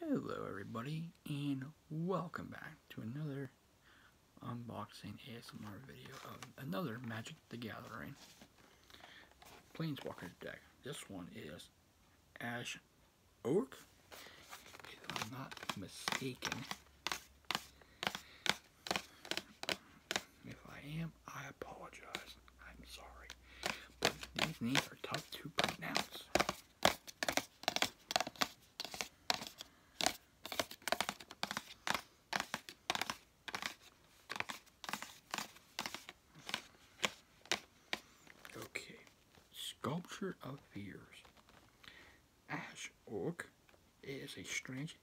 Hello everybody and welcome back to another unboxing ASMR video of another Magic the Gathering Planeswalker deck. This one is Ash Oak, if I'm not mistaken. If I am, I apologize. I'm sorry. But these names are tough to pronounce. Okay. Sculpture of Fears. Ash Oak is a strange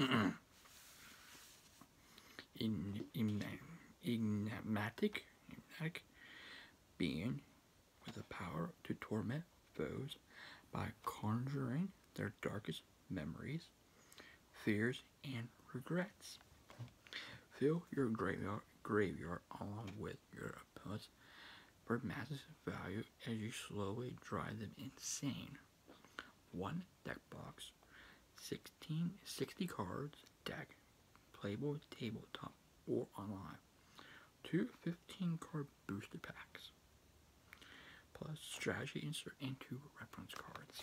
uh, in, enigmatic, being with the power to torment foes by conjuring their darkest memories, fears, and regrets. Fill your graveyard, graveyard along with your opponent's for massive value as you slowly drive them insane. One deck box, six 16, 60 cards, deck, playable, tabletop, or online. Two 15 card booster packs. Plus strategy insert and two reference cards.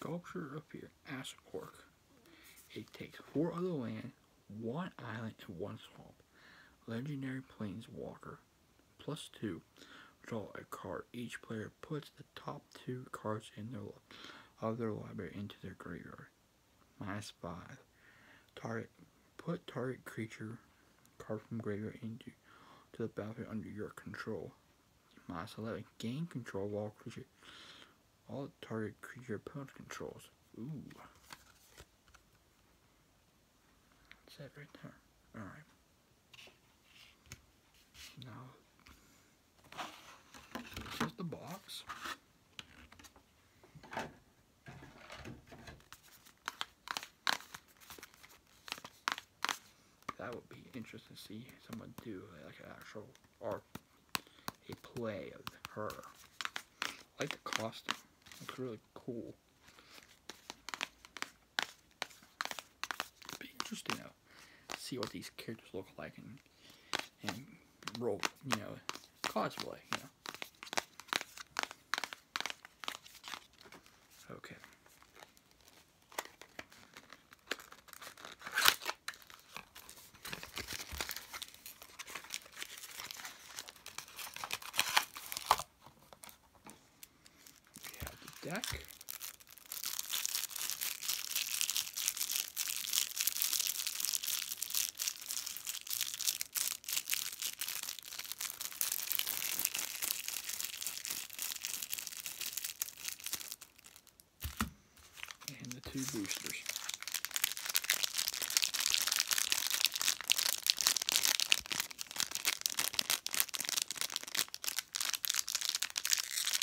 Sculpture up here, Assapork. It takes four other land, one island, to one swamp. Legendary Planeswalker, plus two. Draw a card. Each player puts the top two cards in their of their library into their graveyard. Minus 5. Target. Put target creature card from graveyard into to the battlefield under your control. Minus 11. Gain control of creature. All target creature opponent controls. Ooh. That's it right there. Alright. Now, this is the box. That would be interesting to see someone do like an actual or a play of her. like the costume. Looks really cool. be interesting see what these characters look like and and roll, you know, cosplay, you know. Okay. We deck and the two boosters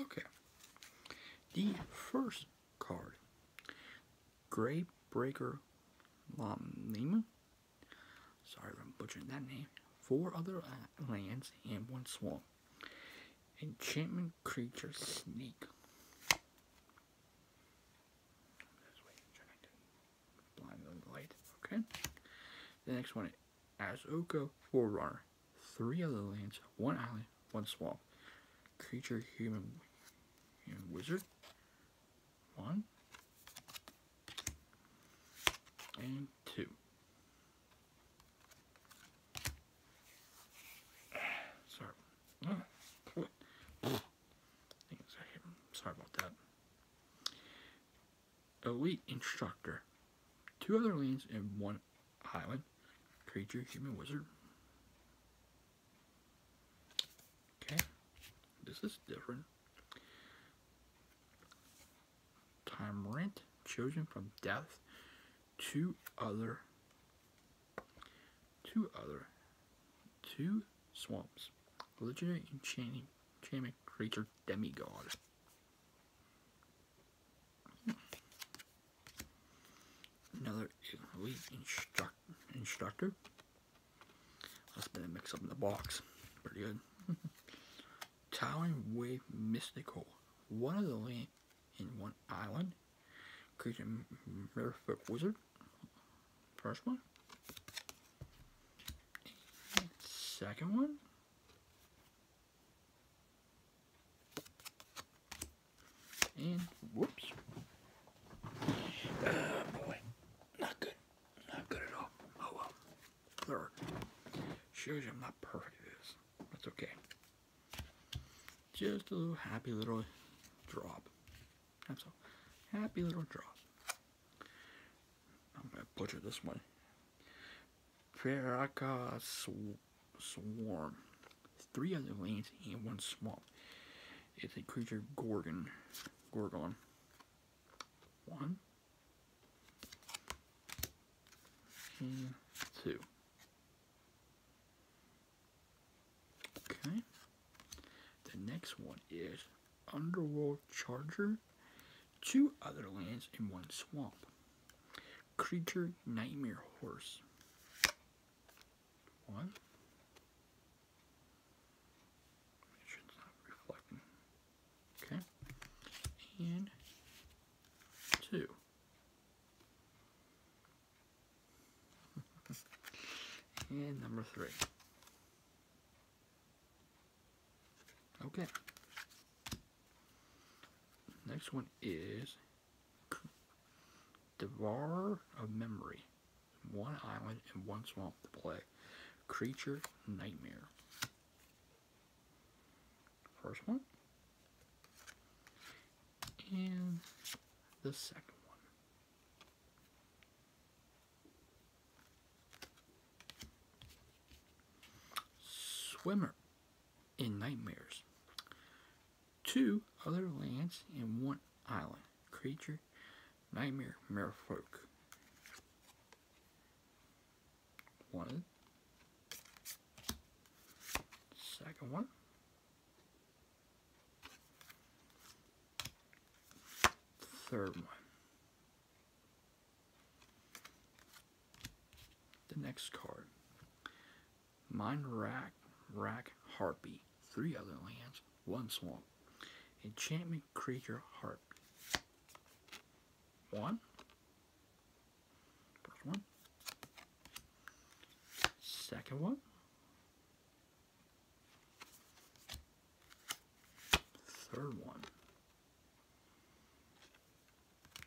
Okay. The first card, Greybreaker Lomnima. Sorry if I'm butchering that name. Four other lands and one swamp. Enchantment creature snake. Okay. The next one Azuka Forerunner. Three other lands, one island, one swamp. Creature human, and wizard. One. And two. Sorry. Sorry about that elite instructor, two other lanes and one island, creature, human wizard. Okay, this is different. Time rent, chosen from death, two other, two other, two swamps, legendary enchanting, creature demigod. Another elite instruct, instructor. Must have been a mix up in the box. Pretty good. Towering Wave Mystical. One of the land in one island. Creature Merfolk Wizard. First one. Second one. And whoops. Ah, boy. Not good. Not good at all. Oh well. There. Shows you I'm not perfect at this. That's okay. Just a little happy little drop. That's Happy little drop. I'm gonna butcher this one. Ferraca swarm. Three other lanes and one swamp. It's a creature Gorgon. Gorgon. One. two. Okay. The next one is Underworld Charger two other lands, in one swamp. Creature Nightmare Horse. One. Make sure it's not reflecting. Okay. And two. and number three. Okay. Next one is Devourer of Memory. One island and one swamp to play. Creature Nightmare. First one. And the second one. Swimmer in Nightmares. Two other lands and one island. Creature, Nightmare, Merfolk. One. Second one. Third one. The next card. Mine Rack Rack Harpy. Three other lands, one swamp. Enchantment creature Heart, One. First one. one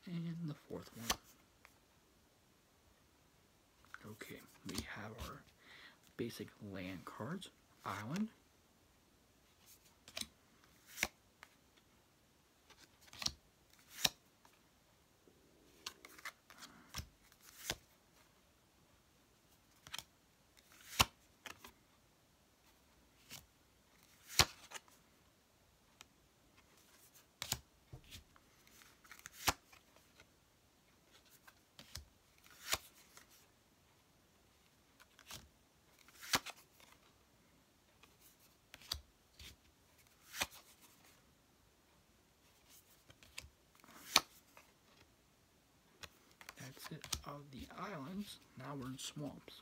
and the fourth one. Okay, we have our basic land cards, island, that's of the islands. Now we're in swamps.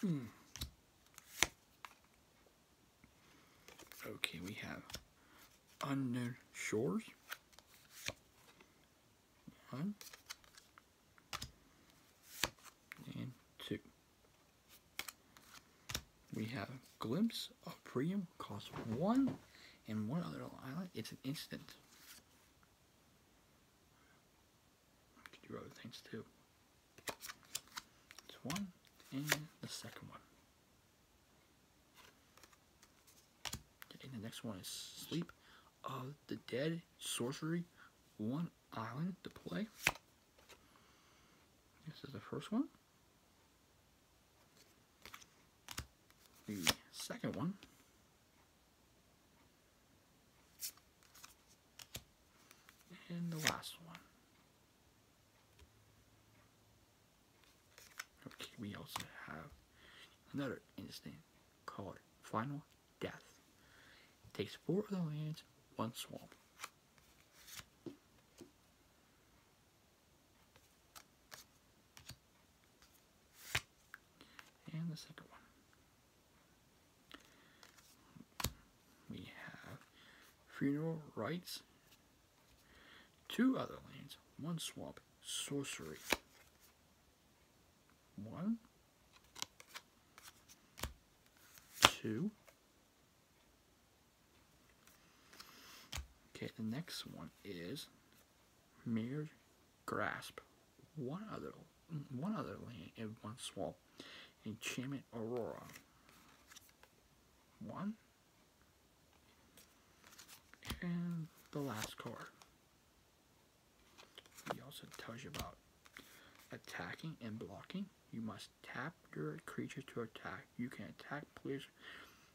Hmm. Okay, we have unknown shores. One and two. We have Glimpse of Priam, cost one, and one other island. It's an instant. I could do other things too. It's one, and the second one. I the next one is Sleep of the Dead Sorcery One Island to Play. This is the first one. The second one. And the last one. Okay, we also have another instant called Final Death. takes four of the lands, one swamp. And the second one. We have Funeral Rites, Two other lands, one swamp, sorcery. One, two. Okay, the next one is Mirror Grasp. One other, one other land and one swamp. Enchantment Aurora. One, and the last card. He also tells you about attacking and blocking. You must tap your creature to attack. You can attack players,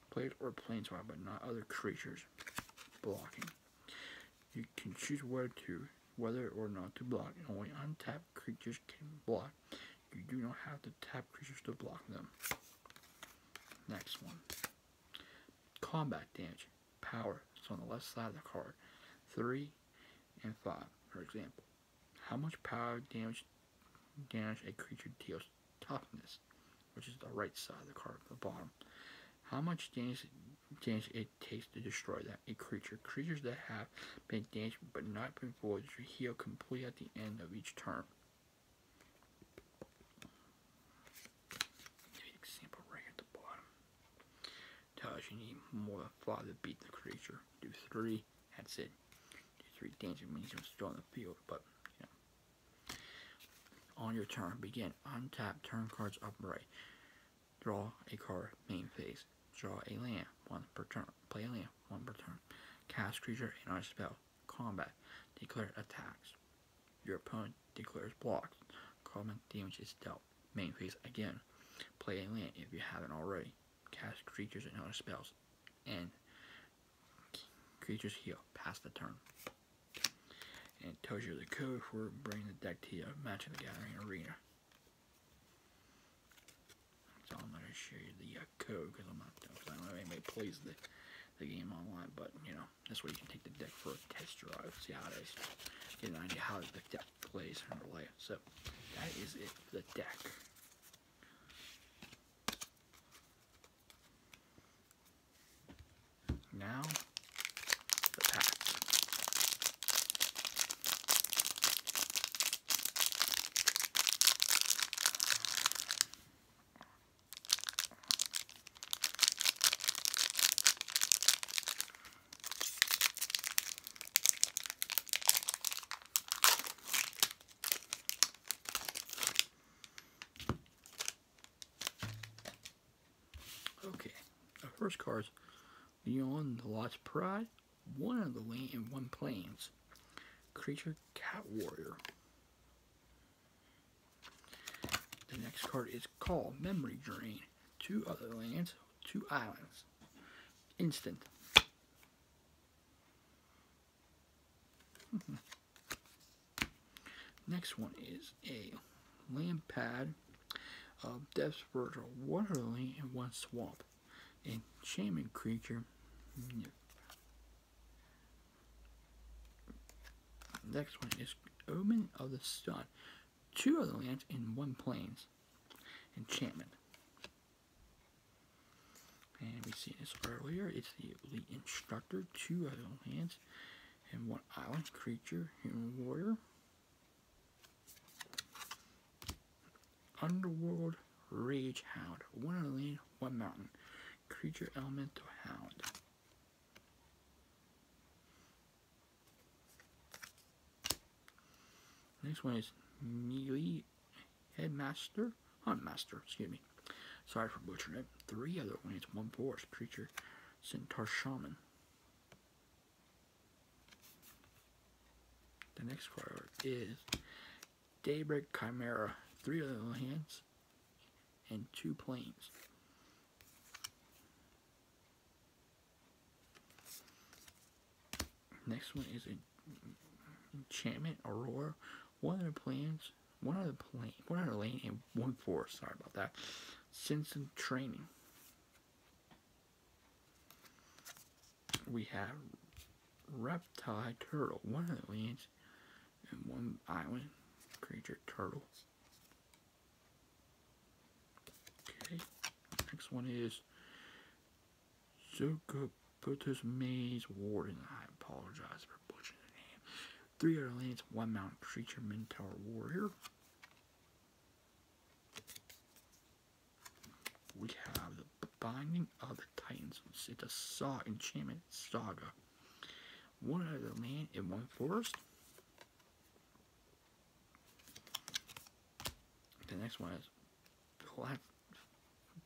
players or planeswalkers, but not other creatures. Blocking. You can choose where to, whether or not to block. Only untapped creatures can block. You do not have to tap creatures to block them. Next one. Combat damage. Power is on the left side of the card. 3 and 5, for example. How much power damage damage a creature deals toughness, which is the right side of the card at the bottom. How much damage damage it takes to destroy that a creature. Creatures that have been damaged but not been voided should heal completely at the end of each turn. The example right at the bottom tells you need more fly to beat the creature. Do three, that's it. Do three danger means you're still on the field, but you On your turn, begin. Untap, turn cards upright. Draw a card, main phase. Draw a land, one per turn. Play a land, one per turn. Cast creature and our spell. Combat declares attacks. Your opponent declares blocks. Combat damage is dealt. Main phase again. Play a land if you haven't already. Cast creatures and other spells. And creatures heal. Pass the turn. And tells you the code for bringing the deck to your Magic the Gathering arena. So I'm gonna show you the uh, code because I'm not cause I don't know if anybody plays the the game online, but you know this way you can take the deck for a test drive, see how it is, get an idea how the deck plays in real life. So that is it for the deck. Now the pack. Okay, our first is beyond the Lost Pride, One of the Lane, and One Plains. Creature Cat Warrior. The next card is called Memory Drain. Two other lands, two islands. Instant. Next one is a land pad of Death's Verge, Waterland, and one swamp. A Shaman Creature, Next one is Omen of the Sun. Two of the lands in one plains. Enchantment. And we've seen this earlier. It's the Elite Instructor. Two of the lands and one island creature, human warrior. Underworld Rage Hound. One lane, one mountain. Creature Elemental Hound. Next one is Neely Headmaster. Huntmaster, excuse me. Sorry for butchering it. Three other lanes, one forest creature. Centaur Shaman. The next card is Daybreak Chimera, three little hands, and two planes. Next one is Enchantment Aurora, one of the planes, one of the plane, one of the lane, and one forest. Sorry about that. Sense and Training. We have reptile turtle, one of the lands and one island creature turtle. Okay, next one is Zuko Zergoputus Maze Warden. I apologize for butchering the name. Three other lands, one mountain creature, Minotaur Warrior. We have Binding of the Titans. It's a Saw Enchantment Saga. One out of the land in one forest. The next one is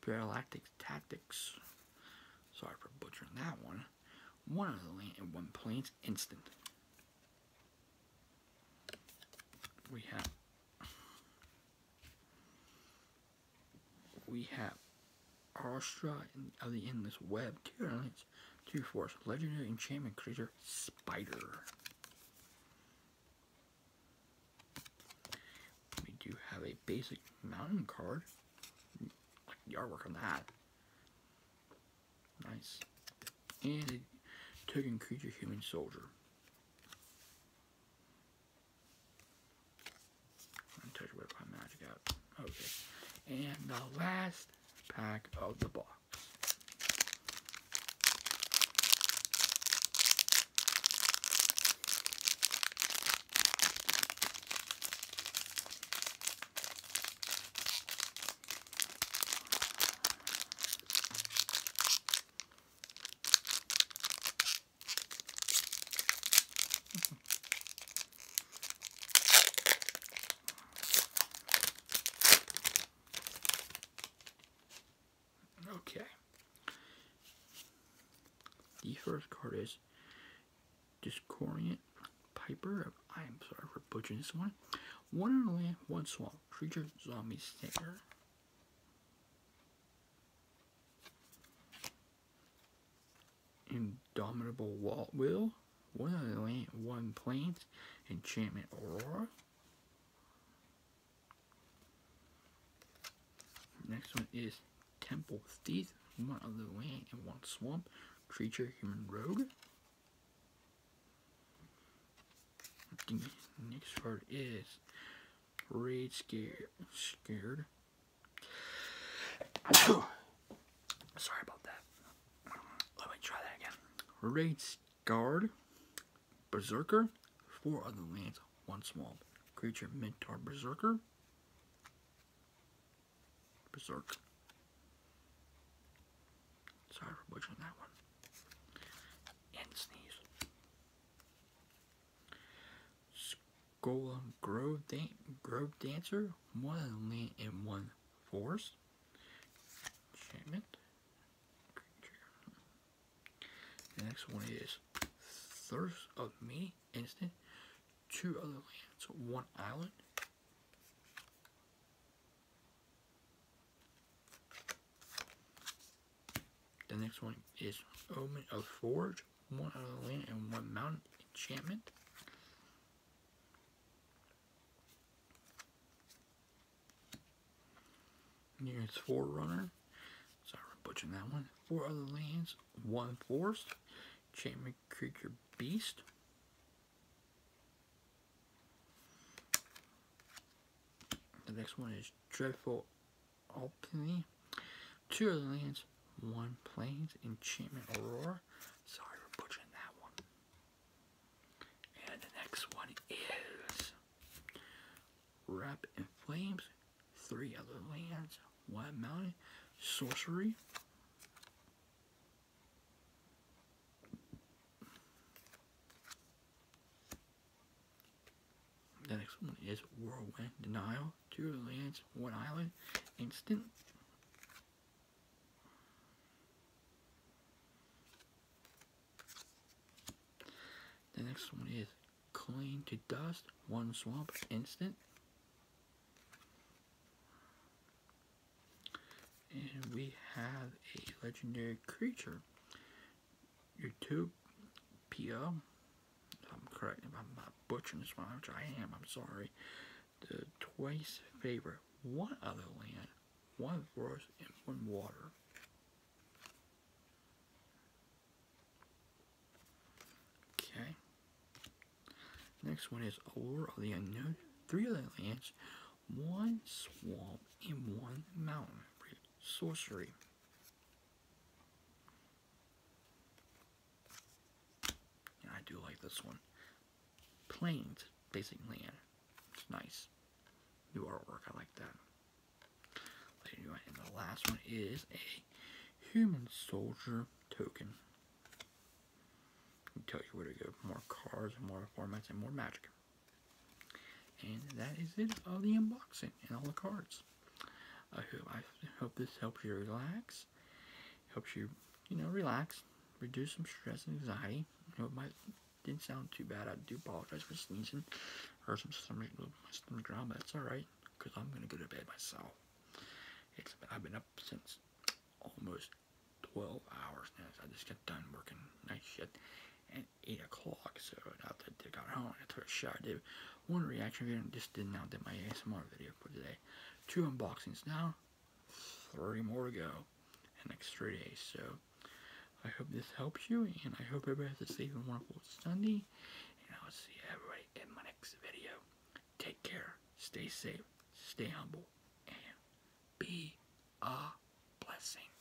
Paralactic Tactics. Sorry for butchering that one. One of the land in one plane's instant. We have we have Arstra of the Endless Web, Tier Alliance, Tier Force, Legendary Enchantment Creature, Spider. We do have a basic mountain card. Like the on that. Nice. And a token creature human soldier. Untouched whip my magic out. Okay. And the last pack of the box okay. The first card is Discordiant Piper. I'm sorry for butchering this one. One in a land, one swamp. Creature, zombie, stinger. Indomitable Walt Will, One of Land, One Plains, Enchantment aura. Next one is Temple of One Land One Swamp, Creature Human Rogue. next card is Raid scare Scared. Sorry about that. Let me try that again. Raid scarred. Berserker. Four other lands. One small creature. Mentor Berserker. Berserk. Sorry for butchering that one. And sneeze. School of Grove Dancer, one land and one forest. Enchantment. The next one is Thirst of Me, instant. Two other lands, one island. The next one is Omen of Forge, one out of the land and one mountain enchantment. Here's Forerunner. Sorry, butchering that one. Four other lands, one forest. Enchantment creature beast. The next one is Dreadful Alchemy, two other lands, one plains, enchantment aurora. Sorry for are butchering that one. And the next one is Wrap in Flames, three other lands, one mountain, sorcery. The next one is Whirlwind Denial, Two Lands, One Island, Instant. The next one is Clean to Dust, One Swamp, Instant. And we have a legendary creature. YouTube PO. I'm correct if I'm butchering this one, which I am, I'm sorry. The twice favorite one other land, one forest, and one water. Okay. Next one is Allure of the Unknown. Three other lands, one swamp, and one mountain. Sorcery. I do like this one. Plains, basic land. It's nice. New artwork, I like that. And the last one is a human soldier token. It tells you where to go. More cards, more formats, and more magic. And that is it of the unboxing and all the cards. I hope, this helps you relax, helps you, you know, relax, reduce some stress and anxiety. It hope didn't sound too bad. I do apologize for sneezing or some stomach, my stomach ground, but it's alright because I'm going to go to bed myself. I've been up since almost 12 hours now. So I just got done working nice shit. 8 o'clock, so now that they got home, I took a shower, one reaction video, just did not did my ASMR video for today. Two unboxings now, Three more to go in next three days, so I hope this helps you, and I hope everybody has a safe and wonderful Sunday, and I'll see everybody in my next video. Take care, stay safe, stay humble, and be a blessing.